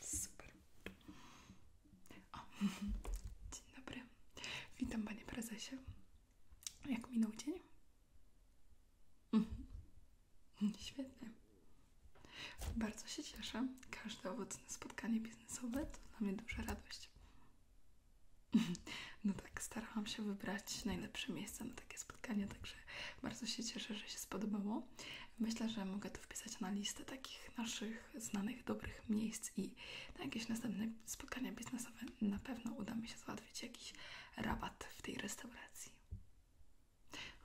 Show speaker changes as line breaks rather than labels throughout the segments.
Super. dzień dobry. Witam Panie Prezesie. Jak minął dzień? Mhm. Świetnie. Bardzo się cieszę. Każde owocne spotkanie biznesowe to dla mnie duża radość. No tak, starałam się wybrać najlepsze miejsca na takie spotkanie, także bardzo się cieszę, że się spodobało. Myślę, że mogę to wpisać na listę takich naszych znanych, dobrych miejsc i na jakieś następne spotkania biznesowe na pewno uda mi się załatwić jakiś rabat w tej restauracji.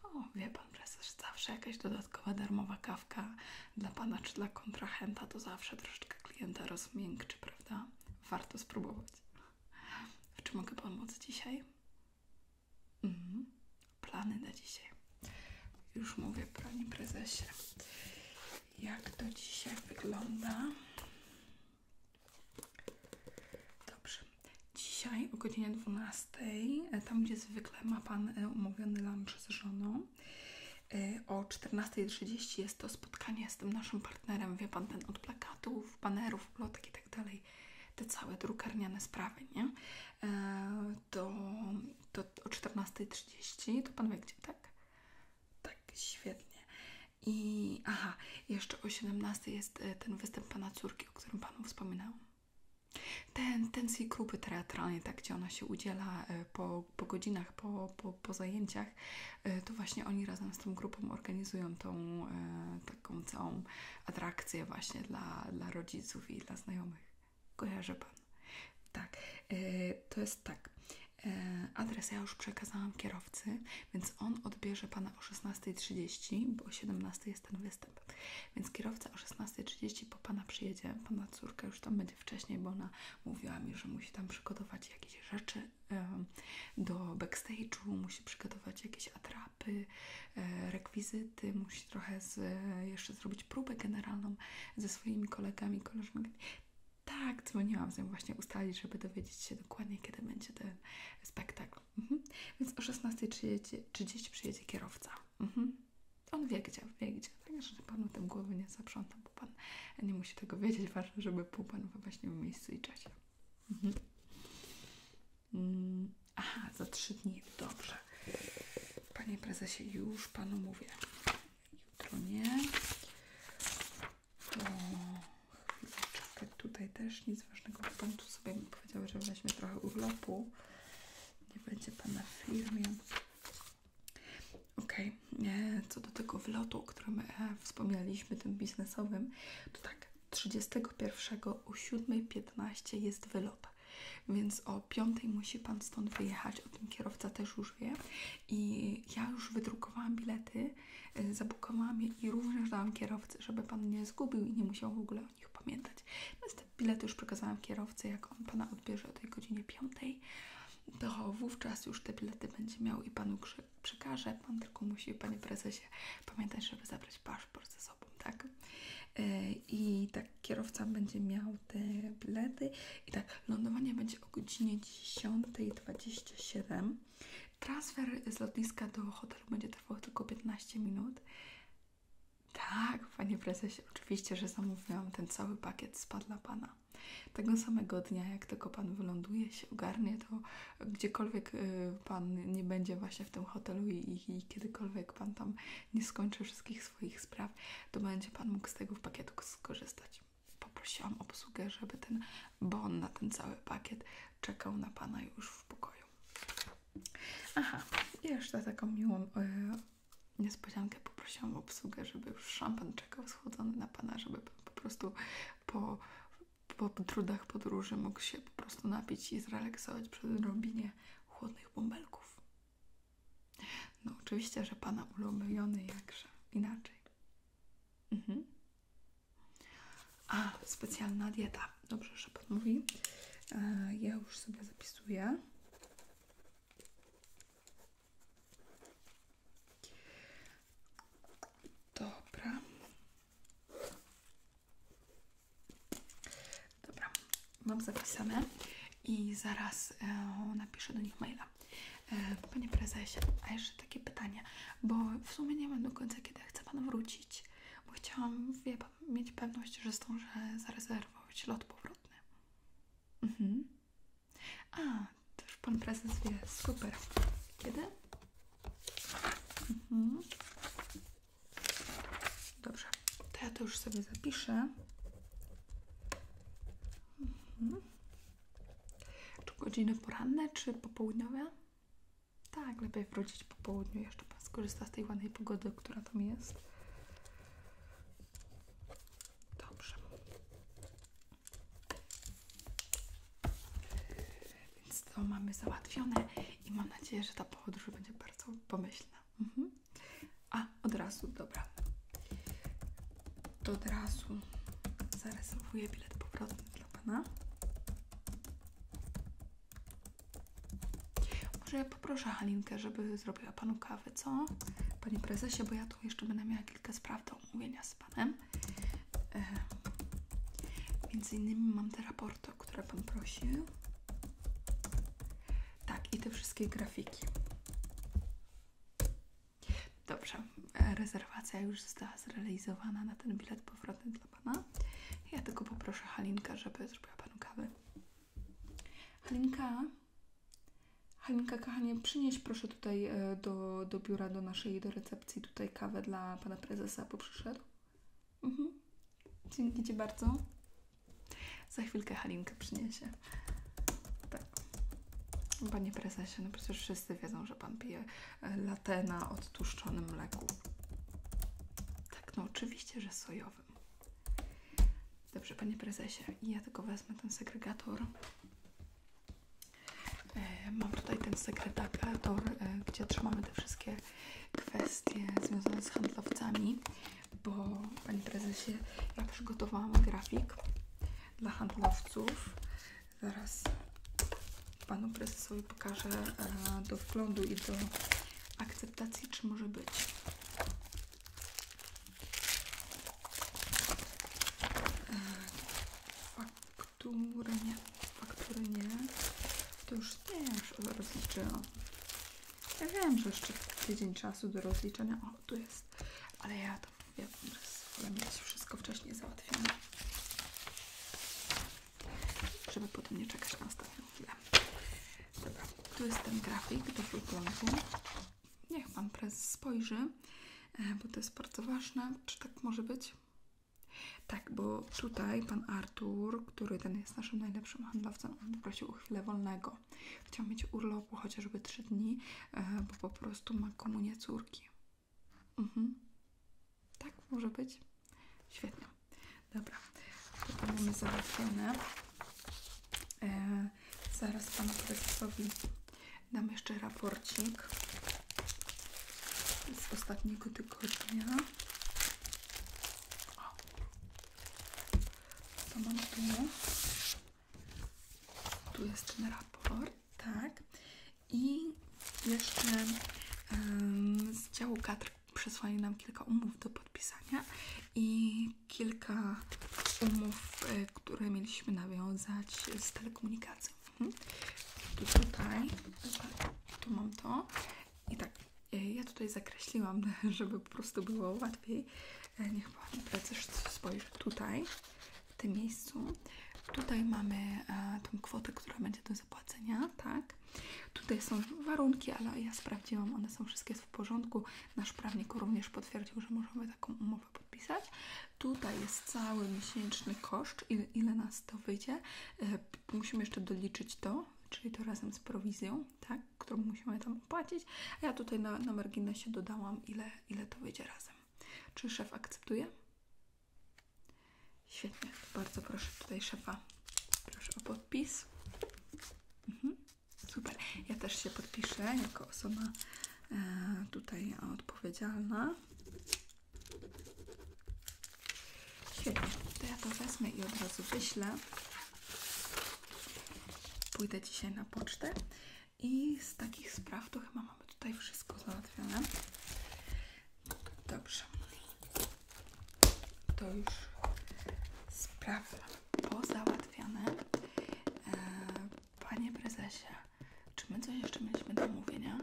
O, wie Pan Prezes, zawsze jakaś dodatkowa darmowa kawka dla Pana czy dla kontrahenta to zawsze troszeczkę klienta rozmiękczy, prawda? Warto spróbować. W czym mogę pomóc dzisiaj? Mhm. Plany na dzisiaj. Już mówię, panie prezesie. Jak to dzisiaj wygląda? Dobrze. Dzisiaj o godzinie 12, e, tam gdzie zwykle ma Pan e, umówiony lunch z żoną, e, o 14.30 jest to spotkanie z tym naszym partnerem, wie Pan, ten od plakatów, banerów, plotek i tak dalej, te całe drukarniane sprawy, nie? E, to do, o 14.30, to Pan wie gdzie, tak? Tak, świetnie. I aha, jeszcze o 17.00 jest e, ten występ Pana córki, o którym Panu wspominałam. Ten, ten z grupy teatralnej, tak, gdzie ona się udziela e, po, po godzinach, po, po, po zajęciach, to właśnie oni razem z tą grupą organizują tą taką całą atrakcję właśnie dla, dla rodziców i dla znajomych. Kojarzy Pan. Tak, e, to jest tak. E, adres ja już przekazałam kierowcy, więc on odbierze Pana o 16.30, bo o 17.00 jest ten występ. Więc kierowca o 16.30 po Pana przyjedzie. Pana córka już tam będzie wcześniej, bo ona mówiła mi, że musi tam przygotować jakieś rzeczy e, do backstage'u, musi przygotować jakieś atrapy, rekwizyty, musi trochę jeszcze zrobić próbę generalną ze swoimi kolegami, koleżankami. Tak, dzwoniłam z nią właśnie ustalić, żeby dowiedzieć się dokładnie, kiedy będzie ten spektakl. Mhm. Więc o 16.30 przyjedzie kierowca. Mhm. On wie gdzie, wie gdzie. Także panu tym głowy nie zaprzątam, bo pan nie musi tego wiedzieć. Ważne, żeby był pan właśnie w miejscu i czasie. Mhm. Mm, aha, za trzy dni, dobrze. Panie prezesie, już panu mówię. Jutro nie. To chwileczkę tutaj też nic ważnego. Pan tu sobie mi powiedział, że weźmie trochę urlopu. Nie będzie pana w firmie. Okej, e, co do tego wlotu, o którym e, wspomnieliśmy, tym biznesowym, to tak, 31 o 7.15 jest wylot, więc o 5 musi Pan stąd wyjechać, o tym kierowca też już wie i ja już wydrukowałam bilety, y, zabukowałam je i również dałam kierowcy, żeby Pan nie zgubił i nie musiał w ogóle o nich pamiętać, więc te bilety już przekazałam kierowcy, jak on Pana odbierze o tej godzinie 5 to wówczas już te bilety będzie miał i Panu przekaże, Pan tylko musi, Panie Prezesie, pamiętać, żeby zabrać paszport ze sobą. Tak? E, I tak kierowca będzie miał te bilety i tak lądowanie będzie o godzinie 10.27. Transfer z lotniska do hotelu będzie trwał tylko 15 minut. Tak, panie prezesie, oczywiście, że zamówiłam ten cały pakiet spa dla pana. Tego samego dnia, jak tylko pan wyląduje, się ogarnie, to gdziekolwiek y, pan nie będzie właśnie w tym hotelu i, i kiedykolwiek Pan tam nie skończy wszystkich swoich spraw, to będzie Pan mógł z tego pakietu skorzystać. Poprosiłam obsługę, żeby ten bon na ten cały pakiet czekał na Pana już w pokoju. Aha, jeszcze taką miłą yy, niespodziankę poprosiłam obsługę, żeby już szampan czekał schłodzony na Pana, żeby po prostu po po trudach podróży mógł się po prostu napić i zrelaksować przed odrobinie chłodnych bąbelków. No oczywiście, że Pana ulubiony jakże inaczej. Mhm. A, specjalna dieta. Dobrze, że podmówi. E, ja już sobie zapisuję. Dobra. Dobra, mam zapisane i zaraz e, napiszę do nich maila. E, panie prezesie, a jeszcze takie pytanie, bo w sumie nie wiem do końca, kiedy chcę Pan wrócić, bo chciałam, mieć pewność, że że zarezerwować lot powrotny. Mhm. A, też Pan prezes wie, super. Kiedy? Mhm. Dobrze, to ja to już sobie zapiszę. Mhm. Czy godziny poranne, czy popołudniowe? Tak, lepiej wrócić po południu. Jeszcze Pan skorzysta z tej ładnej pogody, która tam jest. Dobrze. Więc to mamy załatwione i mam nadzieję, że ta podróż będzie bardzo pomyślna. Mhm. A, od razu, dobra. To od razu zarezerwuję bilet powrotny dla Pana. Może poproszę Halinkę, żeby zrobiła Panu kawę, co? Panie Prezesie, bo ja tu jeszcze będę miała kilka spraw do omówienia z Panem. E, między innymi mam te raporty, o które Pan prosił. Tak, i te wszystkie grafiki. Dobrze, e, rezerwacja już została zrealizowana na ten bilet powrotny dla Pana. Ja tylko poproszę Halinka, żeby zrobiła Panu kawę. Halinka, Halinka kochanie, przynieś proszę tutaj e, do, do biura, do naszej, do recepcji tutaj kawę dla pana prezesa, bo przyszedł. Mhm. Dzięki Ci bardzo. Za chwilkę Halinkę przyniesie. Tak. Panie prezesie, no przecież wszyscy wiedzą, że pan pije e, latte na odtłuszczonym mleku. Tak, no oczywiście, że sojowym. Dobrze, panie prezesie, ja tylko wezmę ten segregator. E, mam tutaj ten segregator, e, gdzie trzymamy te wszystkie kwestie związane z handlowcami, bo panie Prezesie, ja przygotowałam grafik dla handlowców. Zaraz Panu Prezesowi pokażę e, do wglądu i do akceptacji, czy może być faktury nie, faktury nie. To już też rozliczyłam. Ja wiem, że jeszcze tydzień czasu do rozliczenia. O, tu jest. Ale ja to wiem, że wolę mieć wszystko wcześniej załatwione. Żeby potem nie czekać na ostatnią chwilę. Dobra, tu jest ten grafik do wyglądu. Niech Pan Prezes spojrzy. E, bo to jest bardzo ważne. Czy tak może być? Tak, bo tutaj pan Artur, który ten jest naszym najlepszym handlowcem, on prosił o chwilę wolnego. Chciał mieć urlopu chociażby trzy dni, e, bo po prostu ma komunię córki. Mhm. Tak, może być. Świetnie. Dobra, to, mamy załatwione. E, zaraz panu prezesowi Dam jeszcze raporcik z ostatniego tygodnia. O. mam tu? Tu jest ten raport, tak. I jeszcze z działu kadr przesłali nam kilka umów do podpisania i kilka umów, y, które mieliśmy nawiązać z telekomunikacją. Mhm. Tu tutaj, tu mam to i tak, e, ja tutaj zakreśliłam, żeby po prostu było łatwiej. E, niech pan precyż spojrzy tutaj, w tym miejscu. Tutaj mamy e, tą kwotę, która będzie do zapłacenia, tak? Tutaj są warunki, ale ja sprawdziłam, one są wszystkie w porządku. Nasz prawnik również potwierdził, że możemy taką umowę podpisać. Tutaj jest cały miesięczny koszt, ile, ile nas to wyjdzie. E, musimy jeszcze doliczyć to, czyli to razem z prowizją, tak, którą musimy tam opłacić. A ja tutaj na, na marginesie dodałam, ile, ile to wyjdzie razem. Czy szef akceptuje? Świetnie, bardzo proszę tutaj szefa, proszę o podpis. Mhm. Super, ja też się podpiszę jako osoba E, tutaj odpowiedzialna. Świetnie, to ja to wezmę i od razu wyślę. Pójdę dzisiaj na pocztę i z takich spraw to chyba mamy tutaj wszystko załatwione. Dobrze. To już sprawy pozałatwiane. E, Panie prezesie, czy my coś jeszcze mieliśmy do omówienia?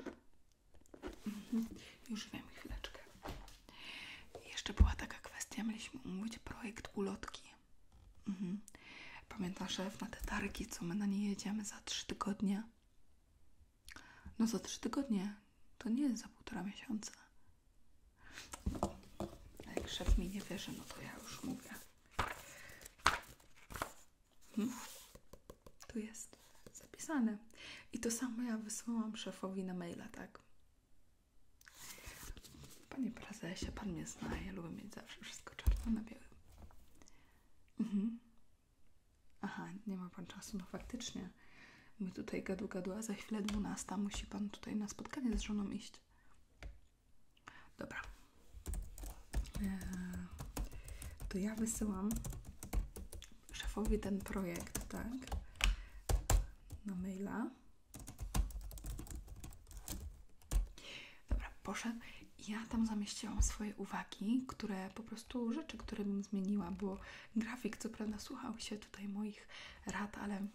Mhm, już wiem, chwileczkę. Jeszcze była taka kwestia, mieliśmy umówić projekt ulotki. Mhm. Pamiętam szef na te targi, co my na nie jedziemy za trzy tygodnie? No za trzy tygodnie. To nie za półtora miesiąca. No, jak szef mi nie wierzy, no to ja już mówię. Hmm? Tu jest zapisane. I to samo ja wysłałam szefowi na maila, tak? Panie prezesie, pan mnie zna, ja lubię mieć zawsze wszystko czarno na białym. Mhm. Aha, nie ma pan czasu, no faktycznie. My tutaj gadu gadu, a za chwilę 12 musi pan tutaj na spotkanie z żoną iść. Dobra. E, to ja wysyłam szefowi ten projekt, tak? Na maila. Dobra, poszedł. Ja tam zamieściłam swoje uwagi, które po prostu rzeczy, które bym zmieniła, bo grafik co prawda słuchał się tutaj moich rad, ale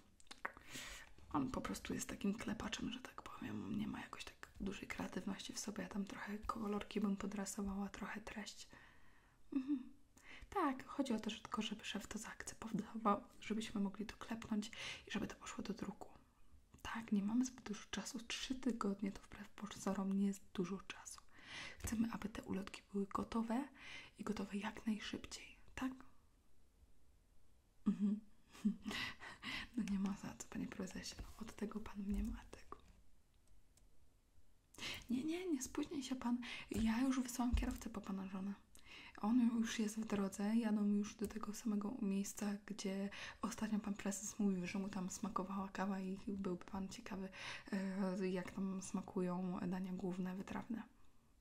on po prostu jest takim klepaczem, że tak powiem. Nie ma jakoś tak dużej kreatywności w sobie. Ja tam trochę kolorki bym podrasowała, trochę treść. Mhm. Tak, chodzi o to, że tylko żeby szef to zaakceptował, żebyśmy mogli to klepnąć i żeby to poszło do druku. Tak, nie mamy zbyt dużo czasu. Trzy tygodnie to wbrew pozorom nie jest dużo czasu. Chcemy, aby te ulotki były gotowe i gotowe jak najszybciej, tak? Mhm. No nie ma za co, panie prezesie. No, od tego pan mnie ma tego. Tak. Nie, nie, nie spóźnij się pan. Ja już wysłałam kierowcę po pana żonę. On już jest w drodze, jadą już do tego samego miejsca, gdzie ostatnio pan prezes mówił, że mu tam smakowała kawa i byłby pan ciekawy, e, jak tam smakują dania główne, wytrawne.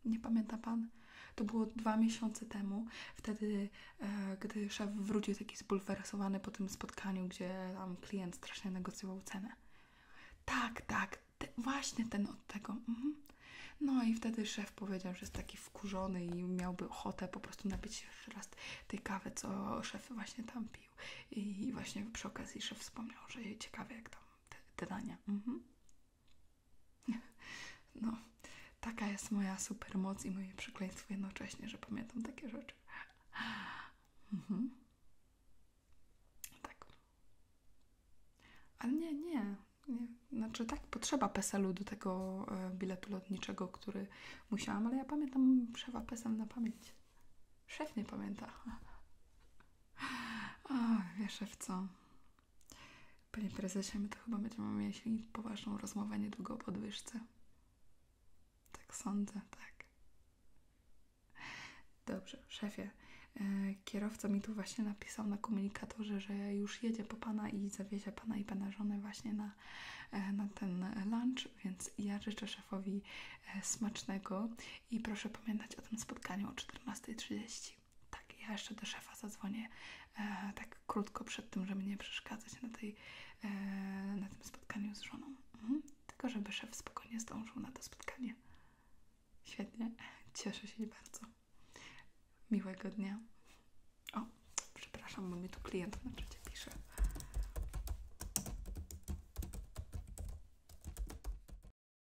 Nie pamięta pan? To było dwa miesiące temu, wtedy, e, gdy szef wrócił taki zbulwersowany po tym spotkaniu, gdzie tam klient strasznie negocjował cenę. Tak, tak, właśnie ten od tego. Mhm. No i wtedy szef powiedział, że jest taki wkurzony i miałby ochotę po prostu napić się jeszcze raz tej kawy, co szef właśnie tam pił. I, właśnie przy okazji szef wspomniał, że ciekawe jak tam te, dania. Mhm. No, taka jest moja supermoc i moje przekleństwo jednocześnie, że pamiętam takie rzeczy. Mhm. Tak. Ale nie, nie, nie. Znaczy tak, potrzeba peselu do tego e, biletu lotniczego, który musiałam, ale ja pamiętam przewa PESEL na pamięć. Szef nie pamięta. O, wiesz w co. Panie prezesie, my to chyba będziemy mieli poważną rozmowę niedługo o podwyżce. Tak sądzę, tak. Dobrze, szefie. E, kierowca mi tu właśnie napisał na komunikatorze, że już jedzie po pana i zawiezie pana i pana żonę właśnie na, e, na ten lunch, więc ja życzę szefowi e, smacznego i proszę pamiętać o tym spotkaniu o 14.30. Tak, ja jeszcze do szefa zadzwonię e, tak krótko przed tym, żeby nie przeszkadzać na, tej, e, na tym spotkaniu z żoną. Mhm. Tylko, żeby szef spokojnie zdążył na to spotkanie. Świetnie, cieszę się bardzo. Miłego dnia. O, przepraszam, bo tu klient na czacie pisze.